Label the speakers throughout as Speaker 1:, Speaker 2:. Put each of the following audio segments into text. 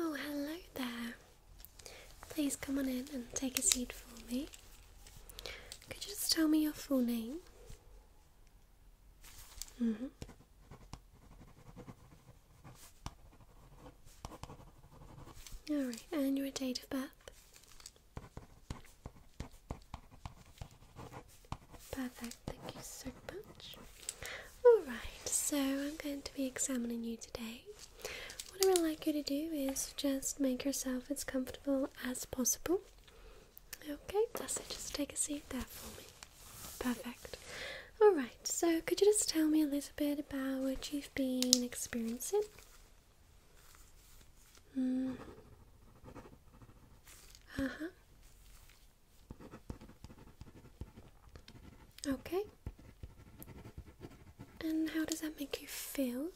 Speaker 1: Oh, hello there. Please come on in and take a seat for me. Could you just tell me your full name? Mm hmm. Alright, and your date of birth? Perfect, thank you so much. Alright, so I'm going to be examining you today. What I would like you to do is just make yourself as comfortable as possible. Okay, that's it. Just take a seat there for me. Perfect. Alright, so could you just tell me a little bit about what you've been experiencing? Mm. Mm-hmm. Uh huh. Okay. And how does that make you feel?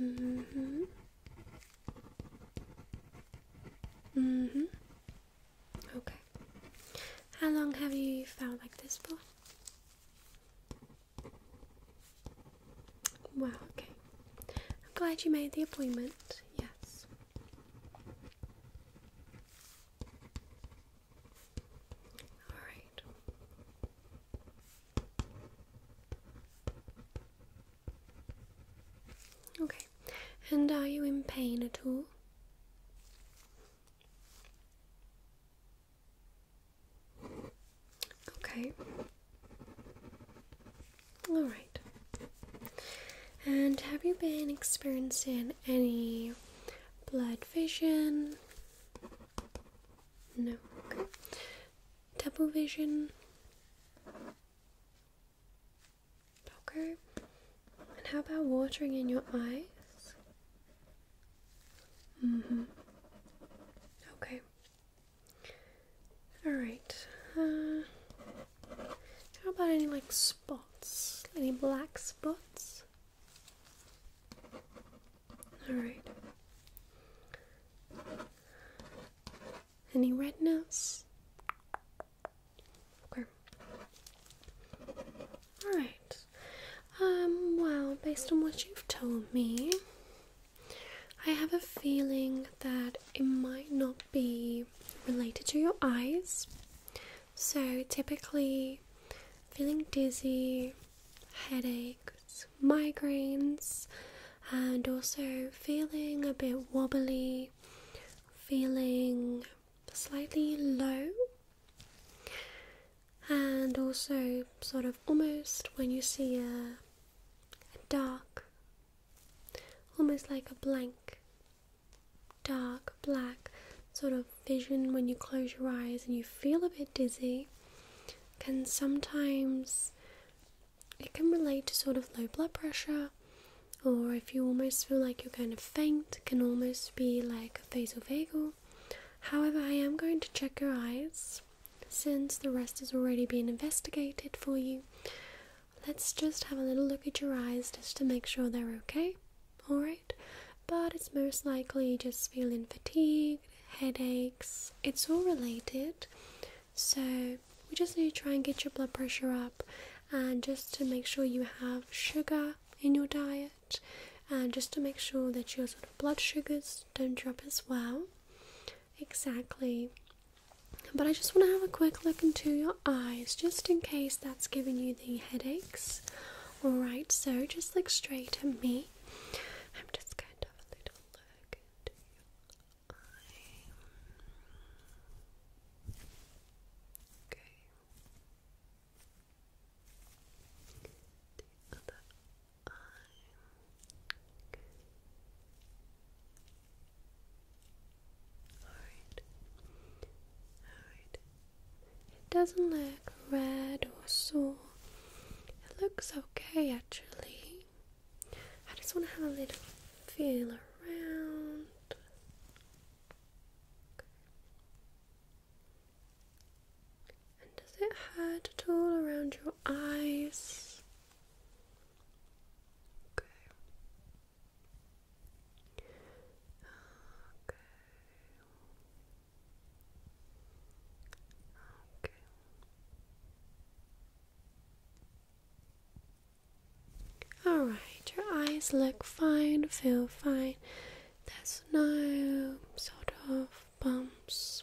Speaker 1: Mm hmm. Mm hmm. Okay. How long have you felt like this for? Wow, okay. I'm glad you made the appointment, yes. Alright. Okay, and are you in pain at all? Okay. Alright. And have you been experiencing any blood vision? No. Double vision? Okay. And how about watering in your eyes? Mm hmm. Okay. All right. Uh, how about any like spots? Any black spots? All right. Any redness? Okay. All right. Um. Well, based on what you've told me, I have a feeling that it might not be related to your eyes. So, typically, feeling dizzy, headaches, migraines, and also feeling a bit wobbly, feeling slightly low, and also sort of almost when you see a and dark, almost like a blank, dark, black sort of vision when you close your eyes and you feel a bit dizzy, can sometimes it can relate to sort of low blood pressure or if you almost feel like you're kind of faint can almost be like a vasovagal however i am going to check your eyes since the rest has already been investigated for you, let's just have a little look at your eyes just to make sure they're okay. Alright? But it's most likely just feeling fatigued, headaches, it's all related. So we just need to try and get your blood pressure up and just to make sure you have sugar in your diet and just to make sure that your sort of blood sugars don't drop as well. Exactly. But I just want to have a quick look into your eyes just in case that's giving you the headaches. Alright, so just look straight at me. I'm just going to have a little look into your eye. Okay. Alright. Alright. It doesn't look red or sore. It looks okay actually. I just want to have a little feel around. And does it hurt at all around your eyes? Okay. Okay. Okay. Alright, your eyes look fine, feel fine. There's no sort of bumps.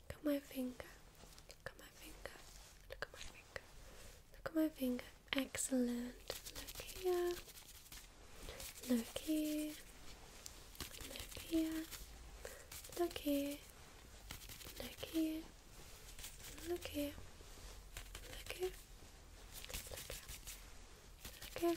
Speaker 1: Look at my finger. Look at my finger. Look at my finger. Look at my finger. Excellent. Look here. Look here. Look here. Look here. Look here. Look here. Look here. Look here. Look here. Look here. Look here.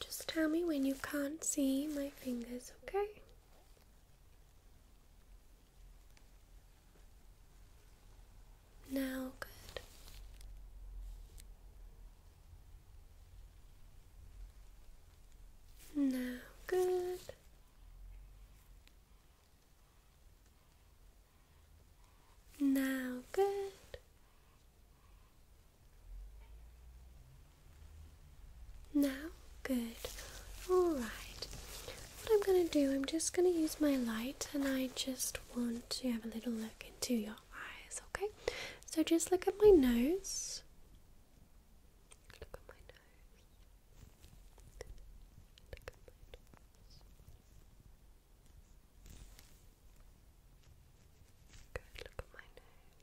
Speaker 1: Just tell me when you can't see my fingers, okay? Now, good. Now, good. Now, good. Now? Good. Alright. What I'm going to do, I'm just going to use my light and I just want to have a little look into your eyes, okay? So just look at my nose. Look at my nose. Look at my nose. Good, look at my nose.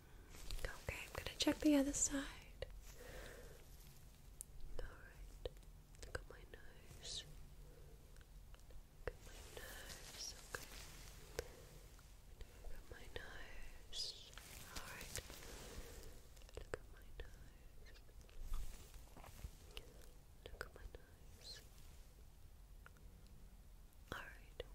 Speaker 1: Okay, I'm gonna check the other side. Alright, look at my nose. Look at my nose, okay. Look at my nose. Alright. Look at my nose. Look at my nose. Alright,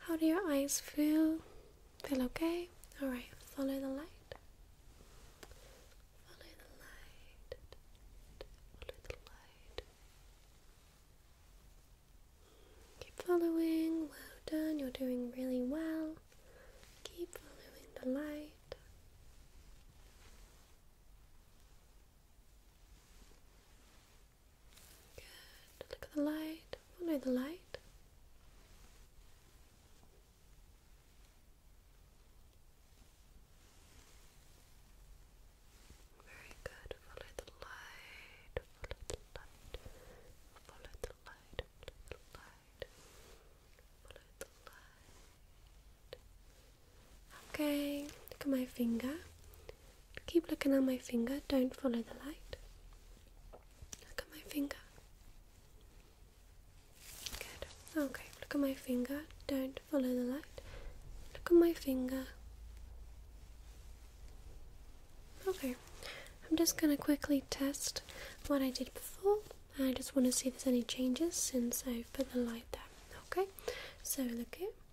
Speaker 1: How do your eyes feel? Feel okay? Alright, follow the light. Follow the light. Follow the light. Keep following. Well done. You're doing really well. Keep following the light. Good. Look at the light. Follow the light. Very good. Follow the light. Follow the light. Follow the light. Follow the light. Follow the light. Okay, look at my finger. Keep looking at my finger, don't follow the light. Look at my finger. Good. Okay, look at my finger, don't follow the light. Look at my finger. Okay, I'm just gonna quickly test what I did before. I just want to see if there's any changes since i put the light there. Okay, so look it.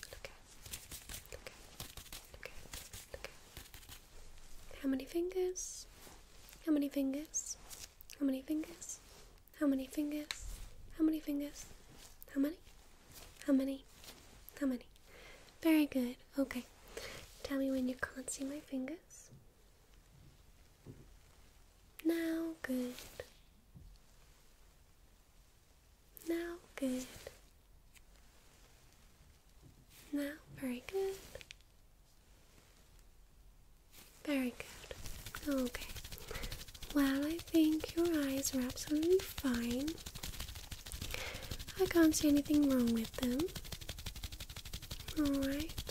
Speaker 1: Look at, look at, How many fingers? How many fingers? How many fingers? How many fingers? How many fingers? How many? How many? How many? Very good. Okay. Tell me when you can't see my fingers. Now, good. Now, good. Now, very good. Very good. Okay. Well, I think your eyes are absolutely fine. I can't see anything wrong with them. Alright.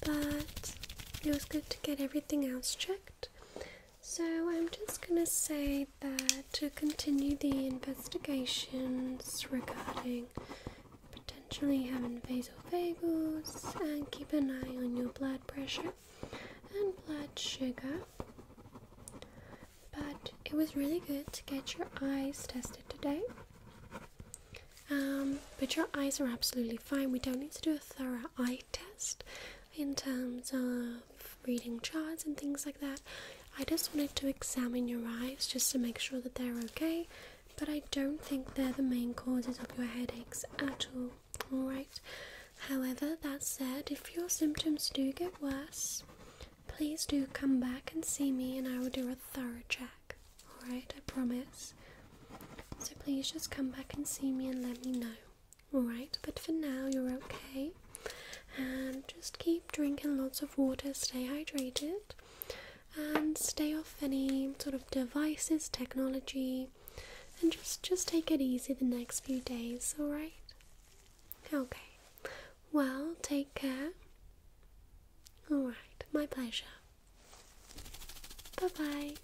Speaker 1: But it was good to get everything else checked. So I'm just going to say that to continue the investigations regarding potentially having vasovagals and keep an eye on your blood pressure and blood sugar. But it was really good to get your eyes tested today. Um, but your eyes are absolutely fine. We don't need to do a thorough eye test in terms of reading charts and things like that. I just wanted to examine your eyes just to make sure that they're okay, but I don't think they're the main causes of your headaches at all. Alright, however, that said, if your symptoms do get worse, please do come back and see me and I will do a thorough check. Alright, I promise. So please just come back and see me and let me know. Alright, but for now you're okay. And just keep drinking lots of water, stay hydrated, and stay off any sort of devices, technology, and just just take it easy the next few days, alright? Okay. Well, take care. Alright, my pleasure. Bye bye.